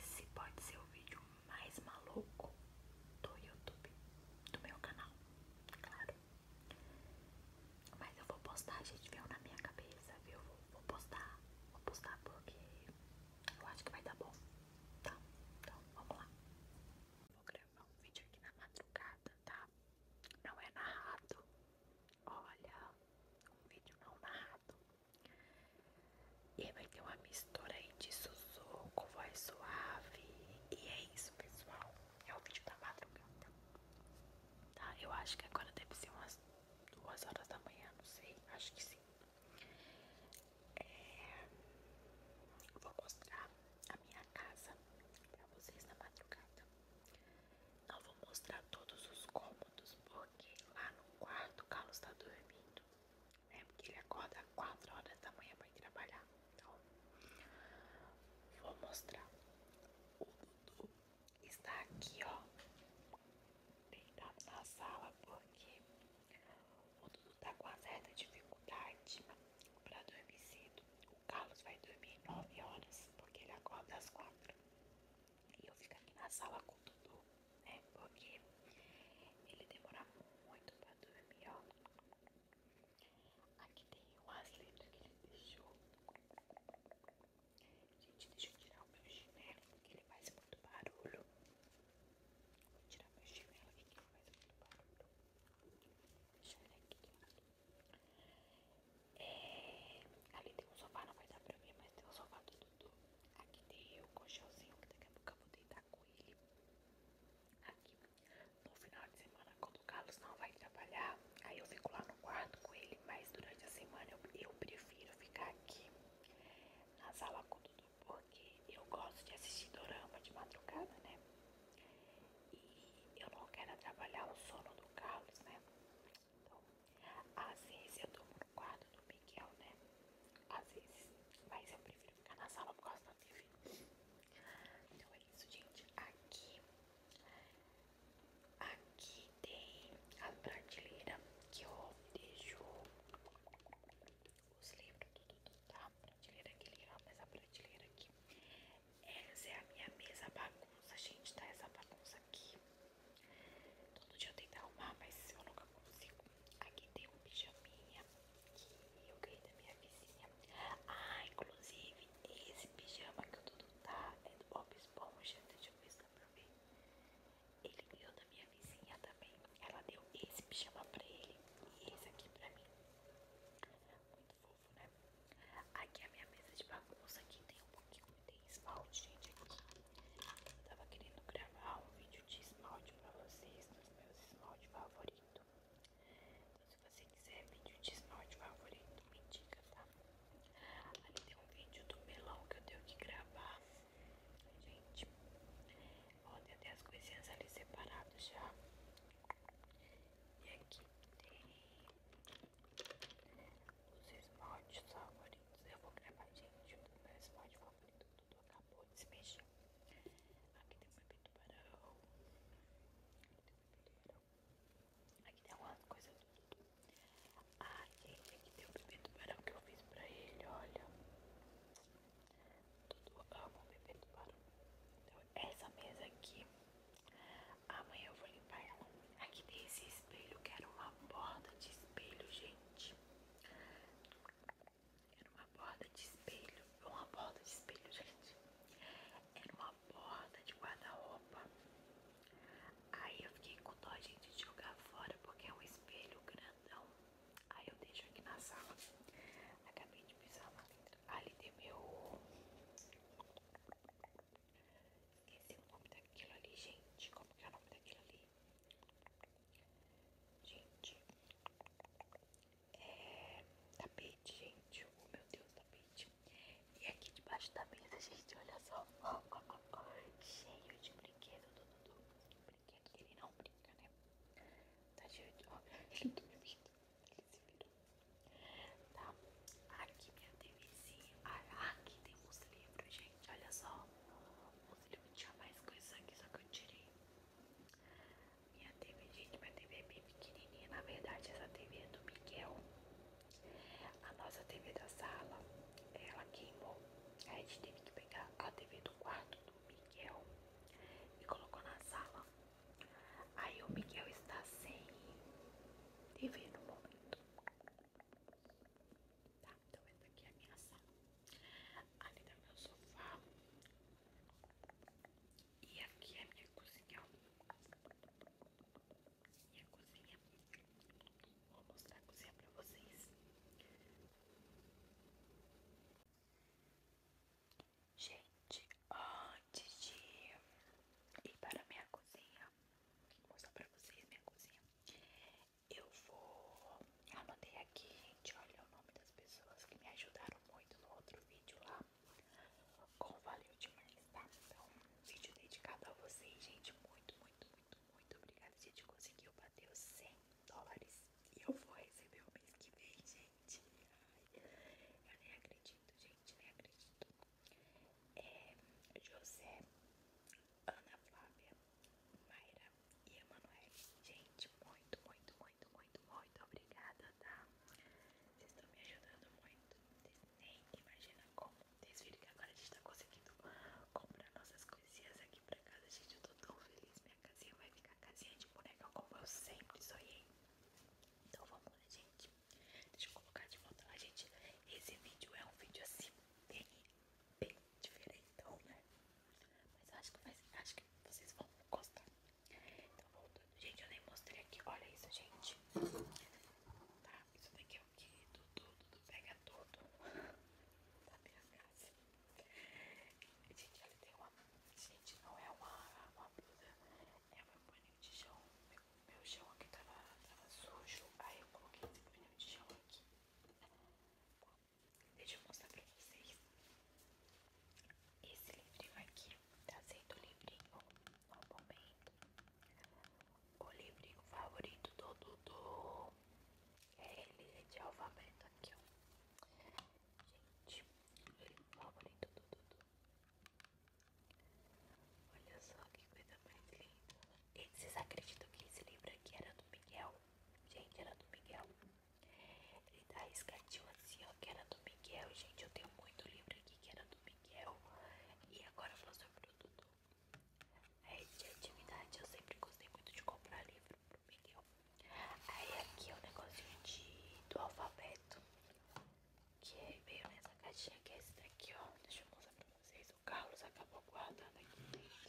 Esse pode ser o vídeo mais maluco do YouTube, do meu canal, claro. Mas eu vou postar, gente, veio na minha cabeça, viu? vou postar, vou postar porque eu acho que vai dar bom. Tá, então vamos lá. Vou gravar um vídeo aqui na madrugada, tá? Não é narrado. Olha, um vídeo não narrado. E vai ter uma mistura aí de sussurro com voz suave. E é isso, pessoal. É o vídeo da madrugada. Tá? Eu acho que agora deve ser umas duas horas da manhã, não sei. Acho que sim. É, vou mostrar a minha casa pra vocês na madrugada. Não vou mostrar todos os cômodos, porque coloquei lá no quarto, o Carlos tá dormindo, né? Porque ele acorda às 4 horas da manhã pra ir trabalhar. Então, vou mostrar. O Dudu está aqui, ó, deitado na sala, porque o Dudu tá com a certa dificuldade pra dormir cedo. O Carlos vai dormir 9 horas, porque ele acorda às 4. E eu fico aqui na sala com o Dudu, né? Porque ele demora muito pra dormir, ó. Aqui tem umas letras que ele deixou. Gente, deixa eu tirar o meu chinelo, porque ele faz muito barulho. Vou tirar meu chinelo aqui, que ele faz muito barulho. Deixa ele aqui. É, ali tem um sofá, não vai dar pra mim, mas tem um sofá do Dudu. Aqui tem o colchãozinho que daqui a pouco eu vou deitar com ele. Aqui no final de semana, quando o Carlos não vai trabalhar, aí eu fico lá no quarto com ele. Mas durante a semana eu, eu prefiro ficar aqui na sala com tudo, porque eu gosto de assistir dorama de madrugada, né? E eu não quero atrapalhar o sono do Carlos, né? Então, às vezes eu durmo no quarto do Miguel, né? Às vezes, mas eu prefiro ficar na sala por causa da TV. Então é isso, gente. Aqui, aqui tem a prateleira que eu deixo os livros, tudo, tudo, tá? prateleira que legal, mas a prateleira aqui. Essa é a minha mesa bagunça, gente, tá? Essa bagunça aqui. Todo dia eu tento arrumar, mas eu nunca consigo. Aqui tem um pijaminha que eu ganhei da minha vizinha. Ah, inclusive, esse pijama que o Dudu tá é do Bob Esponja. Deixa eu ver se dá pra ver. Ele ganhou da minha vizinha também. Ela deu esse pijama pra ele e esse aqui pra mim. Muito fofo, né? Aqui é a minha mesa de bagunça. Aqui tem um porque eu botei esmalte, gente, aqui. Eu tava querendo gravar um vídeo de esmalte pra vocês, dos meus esmalte favoritos. Então, se você quiser vídeo de esmalte favorito, me diga tá? Ali tem um vídeo do melão que eu tenho que gravar. Gente, ó, tem até as coisinhas ali separadas já. E aqui tem os esmaltes favoritos. Eu vou gravar, gente, o meu esmalte favorito. Tudo acabou de se mexer. Aqui tem um bebê tubarão. Aqui tem um bebê tubarão. Aqui tem umas coisas tudo. Ah, aqui tem um bebê tubarão que eu fiz pra ele, olha. Tudo amo o bebê tubarão. Então, essa mesa aqui. Amanhã eu vou limpar ela. Aqui tem esse espelho que era uma borda de espelho, gente. Era uma borda de espelho. Uma borda de espelho, gente. Era uma borda de guarda-roupa. Aí eu fiquei com dó, gente, de jogar fora porque é um espelho grandão. Aí eu deixo aqui na sala. Acabei de pisar lá dentro. Ali tem meu. Esqueci o nome daquilo ali, gente. Como que é o nome daquilo ali? Gente. É. Tapete, gente. Oh meu Deus, tapete. E aqui debaixo da mesa, gente, olha só. Cheio de brinquedo, Dudu. Brinquedo que ele não brinca, né? Tá cheio de. Ó, ele dormindo. Tá ele se virou. Tá. Aqui minha TVzinha. Ah, aqui tem uns livros, gente. Olha só. Os livros tinha mais coisas aqui, só que eu tirei. Minha TV, gente, minha TV é bem pequenininha. Na verdade, essa TV é do Miguel. A nossa TV da sala, ela queimou. A gente teve que pegar a TV do quarto do Miguel e colocou na sala. Aí o Miguel está sem TV no momento. Tá, então essa aqui é a minha sala. Ali tá meu sofá. E aqui é a minha cozinha. Minha cozinha. Vou mostrar a cozinha pra vocês. Gente, antes de ir para minha cozinha, Vou mostrar pra vocês minha cozinha. Eu vou. Eu aqui, gente, olha o nome das pessoas que me ajudaram muito no outro vídeo lá. Com valeu demais, tá? Então, um vídeo dedicado a vocês, gente. Muito, muito, muito, muito obrigada. A gente conseguiu bater os 100 dólares. E eu vou receber o mês que vem, gente. Ai, eu nem acredito, gente, nem acredito. É, José, Ana Flávia, Mayra e Emanuel. Gente, muito, muito, muito, muito, muito obrigada, tá? Vocês estão me ajudando muito. Nem que imagina como. Vocês que agora a gente está conseguindo comprar nossas coisinhas aqui pra casa. Gente, eu tô tão feliz. Minha casinha vai ficar casinha de boneca como eu sempre sonhei. Então vamos lá, gente. Deixa eu colocar de volta lá, gente. Esse vídeo é um vídeo assim, bem, diferente diferentão, né? Mas acho que, acho que vocês vão gostar. Então, voltando. Gente, eu nem mostrei aqui. Olha isso, gente. Tá? Isso daqui é o que? Tudo, tudo, pega tudo. Tá minha casa. Assim. Gente, ela tem uma. Gente, não é uma, uma blusa. É meu paninho de chão. Meu, meu chão aqui tava, sujo. Aí eu coloquei esse paninho de chão aqui. Deixa eu mostrar pra vocês. Esse livrinho aqui tá sendo o livrinho no tá momento. O livrinho favorito do Dudu. É ele é de alfabeto aqui, ó. Gente, o favorito do Dudu Olha só que coisa mais linda. E vocês acreditam que esse livro aqui era do Miguel? Gente, era do Miguel. Ele tá escatinho assim, ó, que era do Miguel. Gente, eu tenho muito livro aqui que era do Miguel. E agora eu sobre o Dudu. A é de eu sempre gostei muito de comprar livro pro Miguel. Aí aqui é o um negocinho de, do alfabeto que veio nessa caixinha que é esse daqui, ó. Deixa eu mostrar pra vocês. O Carlos acabou guardando aqui dentro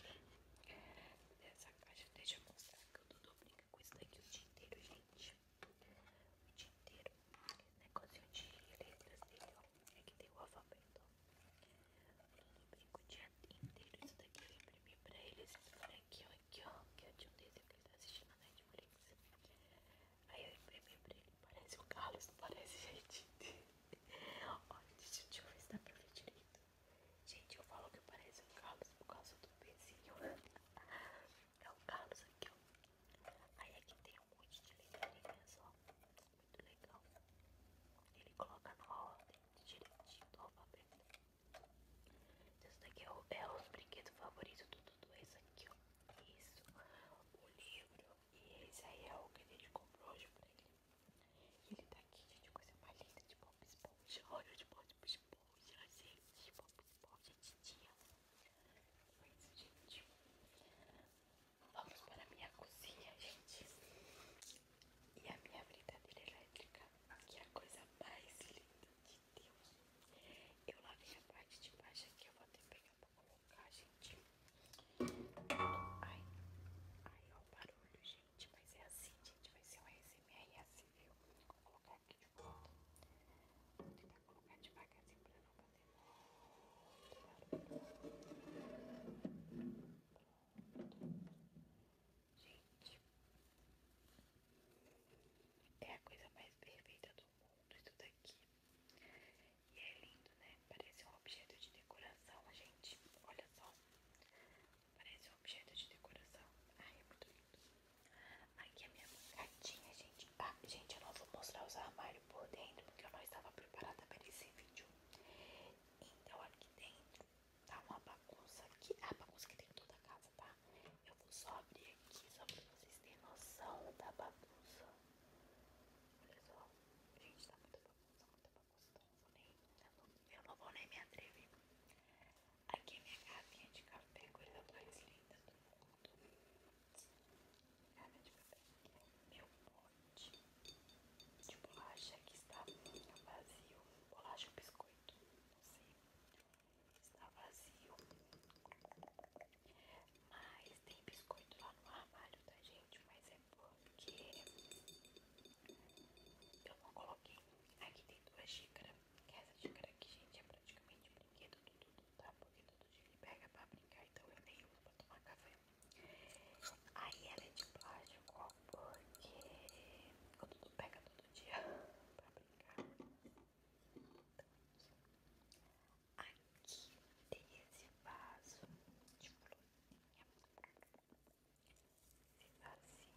dessa é, caixa. Deixa eu mostrar que o Dudu brinca com isso daqui o dia inteiro, gente. O dia inteiro. Esse negocinho de letras dele, ó. É que tem o alfabeto, ó. O Dudu brinca o dia inteiro. Isso daqui eu imprimi pra eles. Esse aqui, ó. Aqui, ó. Que é de um desenho que ele tá assistindo na Netflix. Aí eu imprimi pra ele, parece o Carlos, não parece, gente. Olha, deixa, eu ver se dá pra direito. Gente, eu falo que parece o Carlos por causa do pezinho. É o Carlos aqui, ó. Aí aqui tem um monte de letrinhas, ó. Muito legal. Ele coloca numa ordem direitinho do então, alfabeto. Esse daqui é, o, é os brinquedos favoritos do Dudu, esse aqui, ó. Isso. O livro e esse aí é o que a gente comprou hoje pra ele. E ele tá aqui, gente, coisa mais linda de pop Esponja. Olha de Bob Esponja, gente. Bob Esponja, titia. Foi isso, gente. Vamos para a minha cozinha, gente. E a minha brincadeira elétrica, que é a coisa mais linda de Deus. Eu lavei a parte de baixo aqui, eu vou até pegar pra colocar, gente. Ai, ai, ó o barulho, gente. Mas é assim, gente. Vai ser um ASMR é assim, viu? Vou colocar aqui de volta. Vou tentar colocar devagarzinho pra não fazer muito barulho. Gente, é a coisa mais perfeita do e tudo aqui. E é lindo, né? Parece um objeto de decoração, gente. Olha só. Parece um objeto de decoração. Ai, é muito lindo. Aqui a minha gatinha, gente. Ah, gente, eu não vou mostrar os armários por dentro, porque eu não estava preparada para esse vídeo. Então, aqui dentro tá uma bagunça. Aqui, a ah, bagunça que tem toda a casa, tá? Eu Vou só abrir aqui só pra vocês terem noção da bagunça. Olha só, gente, tá muita bagunça, muita bagunça. eu, não, vou nem me atrever. Aqui é minha garrafinha de café, coisa é mais linda do mundo. Garrafinha de café. É meu pote de bolacha que está vazio. Bolacha ou biscoito, não sei está vazio. Mas tem biscoito lá no armário, tá, gente? Mas é porque eu não coloquei. Aqui tem duas xícaras. Que essa xícara aqui, gente, é praticamente brinquedo do Dudu, tá? Porque todo dia ele pega pra brincar, então eu nem uso pra tomar café. Aí ela é de plástico, porque o Dudu pega todo dia pra brincar. Aqui tem esse vaso de florinha. Esse vasinho,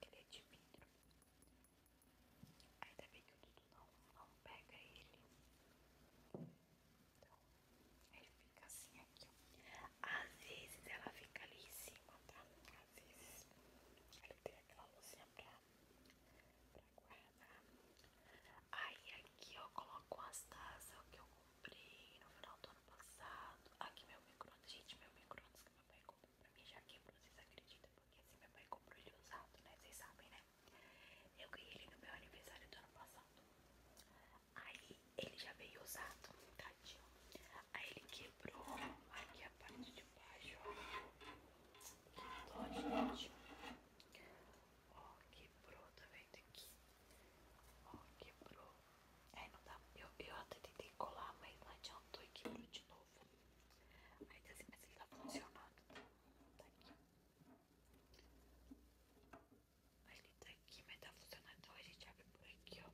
ele é de vidro. Ainda bem que o Dudu não, não pega ele. Então, ele fica assim aqui, Às vezes ela fica ali em cima, tá? Às vezes ele tem aquela luzinha pra pra guardar. Aí aqui eu coloco as taças que eu comprei no final do ano passado. Aqui meu micro-ondas, gente, meu micro-ondas que meu pai comprou pra mim já quebrou, vocês acreditam? Porque assim meu pai comprou ele usado, né? Vocês sabem, né? Eu ganhei ele no meu aniversário do ano passado. Aí ele já veio usado, tadinho. Aí ele quebrou aqui a parte de baixo, Ó, gente. Ó, quebrou, tá vendo aqui? Ó, quebrou. Aí é, não dá. Eu, eu até tentei colar, mas não adiantou e quebrou de novo. Aí tá assim, mas ele tá funcionando, tá? aqui. Aí ele tá aqui, mas tá funcionando. Então a gente abre por aqui, ó.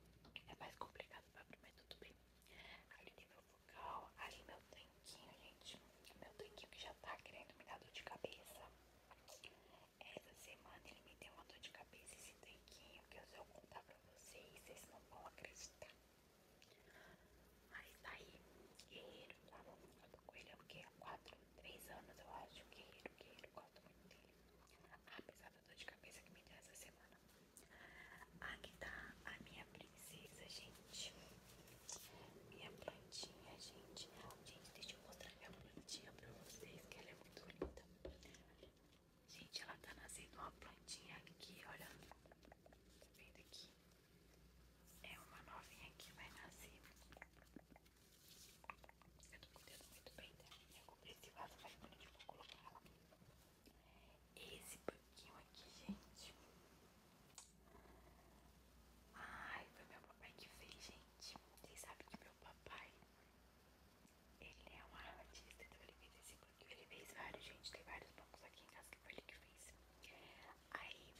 É mais complicado pra abrir, mas tudo bem. Aí ele tem local. Ali meu tanquinho, gente. Meu tanquinho que já tá querendo me dar dor de cabeça. Essa semana ele me deu uma dor de cabeça esse tanquinho. Que eu vou contar pra vocês. Vocês não vão acreditar. Mas tá aí, guerreiro, tá bom? Eu tá tô com ele há é o quê? Há 4, 3 anos eu acho. Guerreiro, guerreiro, gosto muito dele. Apesar da dor de cabeça que me deu essa semana. Aqui tá a minha princesa, gente. Minha plantinha, gente. Gente, deixa eu mostrar minha plantinha pra vocês, que ela é muito linda. Gente, ela tá nascendo uma plantinha aqui, olha. Tá vendo aqui? É uma novinha que vai nascer. Eu tô cuidando muito bem dela. Eu comprei esse vaso, mas quando eu vou tipo, colocar ela esse pouquinho aqui, gente. Ai, foi meu papai que fez, gente. Vocês sabem que meu papai, ele é um artista, então ele fez esse banquinho. Ele fez vários, gente. Tem vários bancos aqui em casa que foi ele que fez. Aí,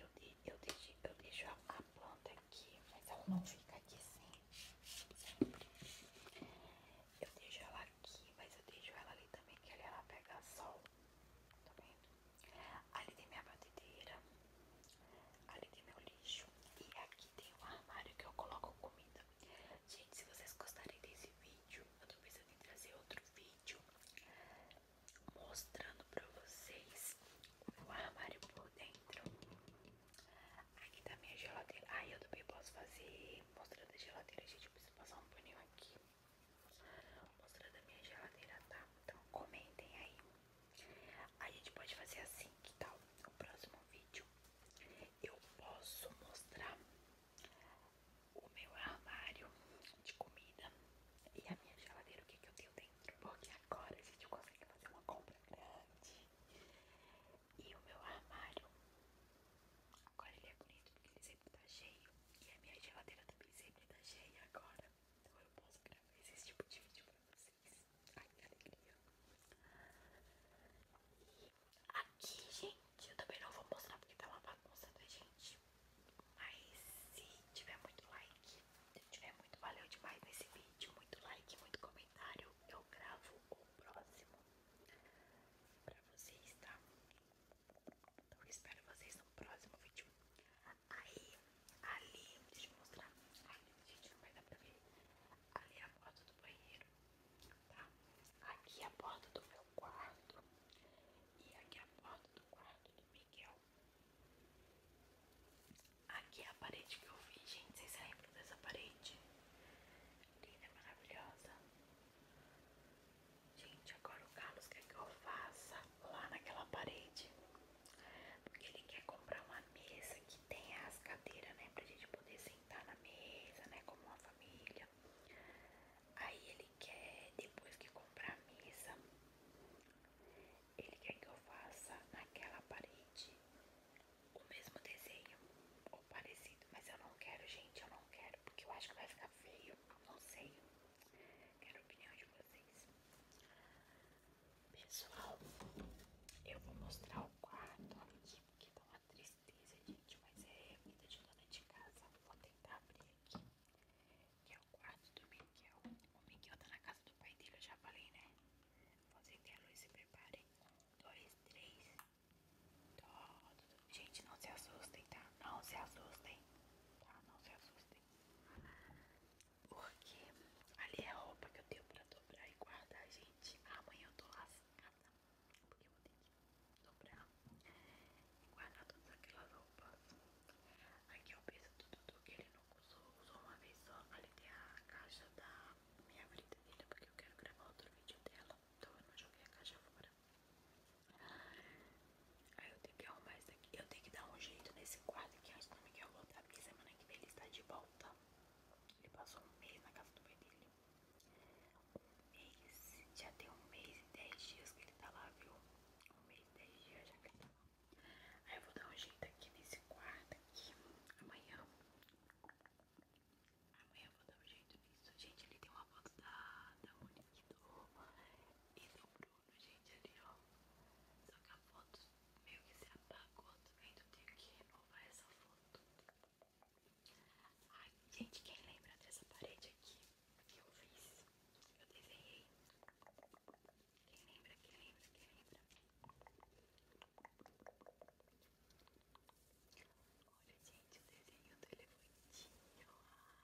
eu, de, eu, deixo, eu deixo a, planta aqui, mas ela não fica aqui assim. Eu deixo ela aqui, mas eu deixo ela ali também, que ali ela pega sol. Tá vendo? Ali tem minha batedeira, ali tem meu lixo. E aqui tem um armário que eu coloco comida. Gente, se vocês gostarem desse vídeo, eu tô pensando em trazer outro vídeo mostrando pra vocês o meu armário por dentro. Aqui tá minha geladeira. Ai, eu também posso fazer mostrando a geladeira, gente. Eu preciso passar um paninho aqui. Mostrando a minha geladeira, tá? Então comentem aí. A gente pode fazer assim, que tal? No próximo vídeo eu posso mostrar o meu armário de comida e a minha geladeira, o que, que eu tenho dentro. Porque agora a gente consegue fazer uma compra grande. E o meu armário, agora ele é bonito porque ele sempre tá cheio. E a minha geladeira também sempre tá cheia agora. Então eu posso gravar esse tipo de vídeo pra vocês. Ai, que alegria. E aqui, gente, eu também não vou mostrar porque tá uma bagunça, da né, gente? Mas se tiver muito like, se tiver muito valeu demais nesse vídeo, muito like, muito comentário, eu gravo o próximo pra vocês, tá? Então eu espero vocês no próximo vídeo. Aí, ali, deixa eu mostrar. Ai, Ali é a porta do banheiro, tá? Aqui é a porta do meu quarto. E aqui é a porta do quarto do Miguel. Aqui é a parede que eu vi, gente. Vocês lembram dessa parede? linda, é maravilhosa. Gente, agora o Carlos quer que eu faça lá naquela parede. Porque ele quer comprar uma mesa que tenha as cadeiras, né? Pra gente poder sentar na mesa, né? Como uma família. Aí ele quer, depois que comprar a mesa, ele quer que eu faça naquela parede o mesmo desenho ou parecido, mas eu não quero, gente, eu não quero, porque eu acho que vai ficar feio, não sei. Quero a opinião de vocês. Pessoal, eu vou mostrar o quarto aqui, porque dá tá uma tristeza, gente, mas é vida de dona de casa. Vou tentar abrir aqui, que é o quarto do Miguel. O Miguel tá na casa do pai dele, eu já falei, né? Vou fazer que a luz se prepare. Um, dois, três. Gente, não se assustem, tá? Não se assustem. Tá? Não se assustem. Porque ali é a roupa que eu tenho pra dobrar e guardar, gente. Amanhã eu tô lascada. Porque eu vou ter que dobrar e guardar todas aquelas roupas. Aqui eu penso tudo, tudo que ele não usou. Usou uma vez só. Ali tem a caixa da minha brincadeira porque eu quero gravar outro vídeo dela. Então eu não joguei a caixa fora. Aí eu tenho que arrumar isso aqui. Eu tenho que dar um jeito nesse quarto aqui. Acho que não me quer voltar porque semana que vem ele está de volta. Ele passou um mês na casa do pai dele. Um mês. Já tem um mês e dez dias que ele está lá, viu? Um mês e dez dias já que ele tá lá. Aí eu vou dar um jeito aqui nesse quarto aqui. Amanhã. Amanhã vou dar um jeito nisso. Gente, ali tem uma foto da, da Monique e do Bruno, gente, ali, ó. Só que a foto meio que se apagou também, então eu tenho que renovar essa foto. Ai, gente, quem lembra dessa parede aqui que eu fiz? Eu desenhei. Quem lembra, quem lembra, quem lembra? Olha, gente, o desenho do elefantinho. É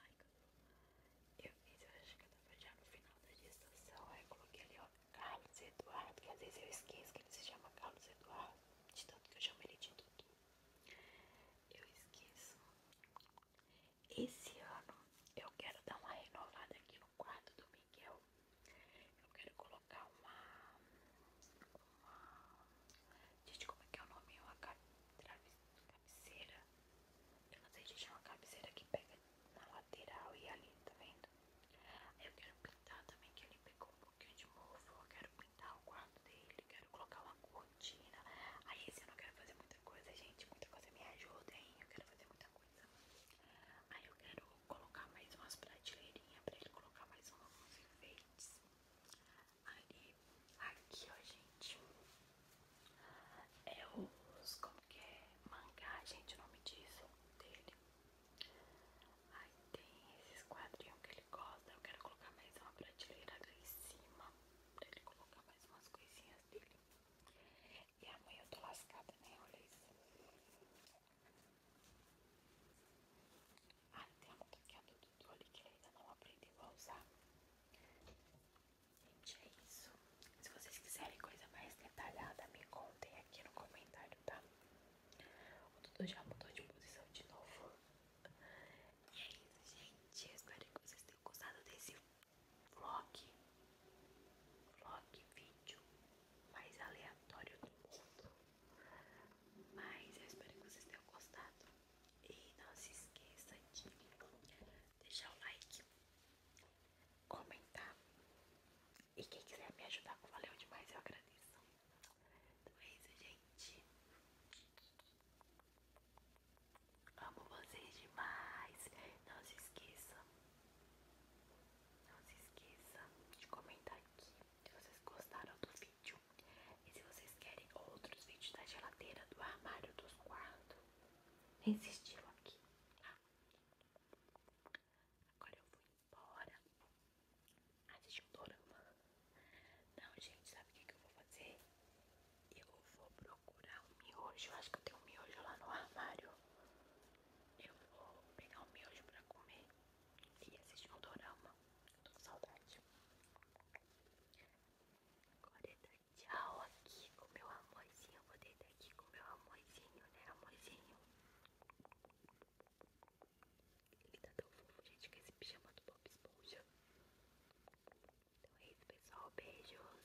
Ai, eu fiz, eu acho que eu tava já no final da gestação. eu coloquei ali, ó, Carlos Eduardo, que às vezes eu esqueço que ele se chama Carlos Eduardo, de tanto que eu chamo ele de Dudu. Eu esqueço. Esse ano eu quero dar uma renovada aqui no quarto do Miguel. Eu quero colocar colocar uma, Gente, como é que é o nome? Uma cabeceira. Eu não sei, gente, é uma cabeceira que pega na lateral e ali, tá vendo? Eu quero pintar também, que ele pegou um pouquinho de mofo. Eu quero pintar o quarto dele, quero colocar uma cortina. Aí esse eu não quero fazer muita coisa, gente. Muita coisa me ajuda, hein? Eu quero fazer muita coisa. Aí eu quero colocar mais umas prateleirinhas pra ele colocar mais uns enfeites. Aí, aqui ó, gente, é os, como que é, mangá, gente, o nome disso, dele. Aí tem esses quadrinhos que ele gosta, eu quero colocar mais uma prateleira ali em cima, pra ele colocar mais umas coisinhas dele. E amanhã eu tô lascada, né, olha isso. Ah, tem uma que é do Dudu ali que ainda não aprendeu a usar. Gente, é isso. Se vocês quiserem coisa mais detalhada, me contem aqui no comentário, tá? O Dudu já mudou de posição de novo. é isso, gente. espero que vocês tenham gostado desse vlog. Vlog, vídeo mais aleatório do mundo. Mas eu espero que vocês tenham gostado. E não se esqueça de deixar o like, comentar. E quem quiser me ajudar, valeu demais, eu agradeço. Então é isso, gente. Amo vocês demais. Não se esqueça não se esqueça de comentar aqui se vocês gostaram do vídeo e se vocês querem outros vídeos da geladeira, do armário, dos quartos. Insistiram aqui. Tá? Agora eu vou embora. Assistir ah, um dorama. Não, gente, sabe o que, eu vou fazer? Eu vou procurar o miojo. Eu acho que eu tenho um miojo lá no armário. Eu vou pegar o miojo pra comer e assistir um dorama. Eu tô com saudade. Agora é deitar tchau aqui com meu amorzinho. vou deitar aqui com meu amorzinho, né, amorzinho? Ele tá tão fofo, gente, que esse pijama do Bob Esponja. Então é isso, pessoal. Beijos.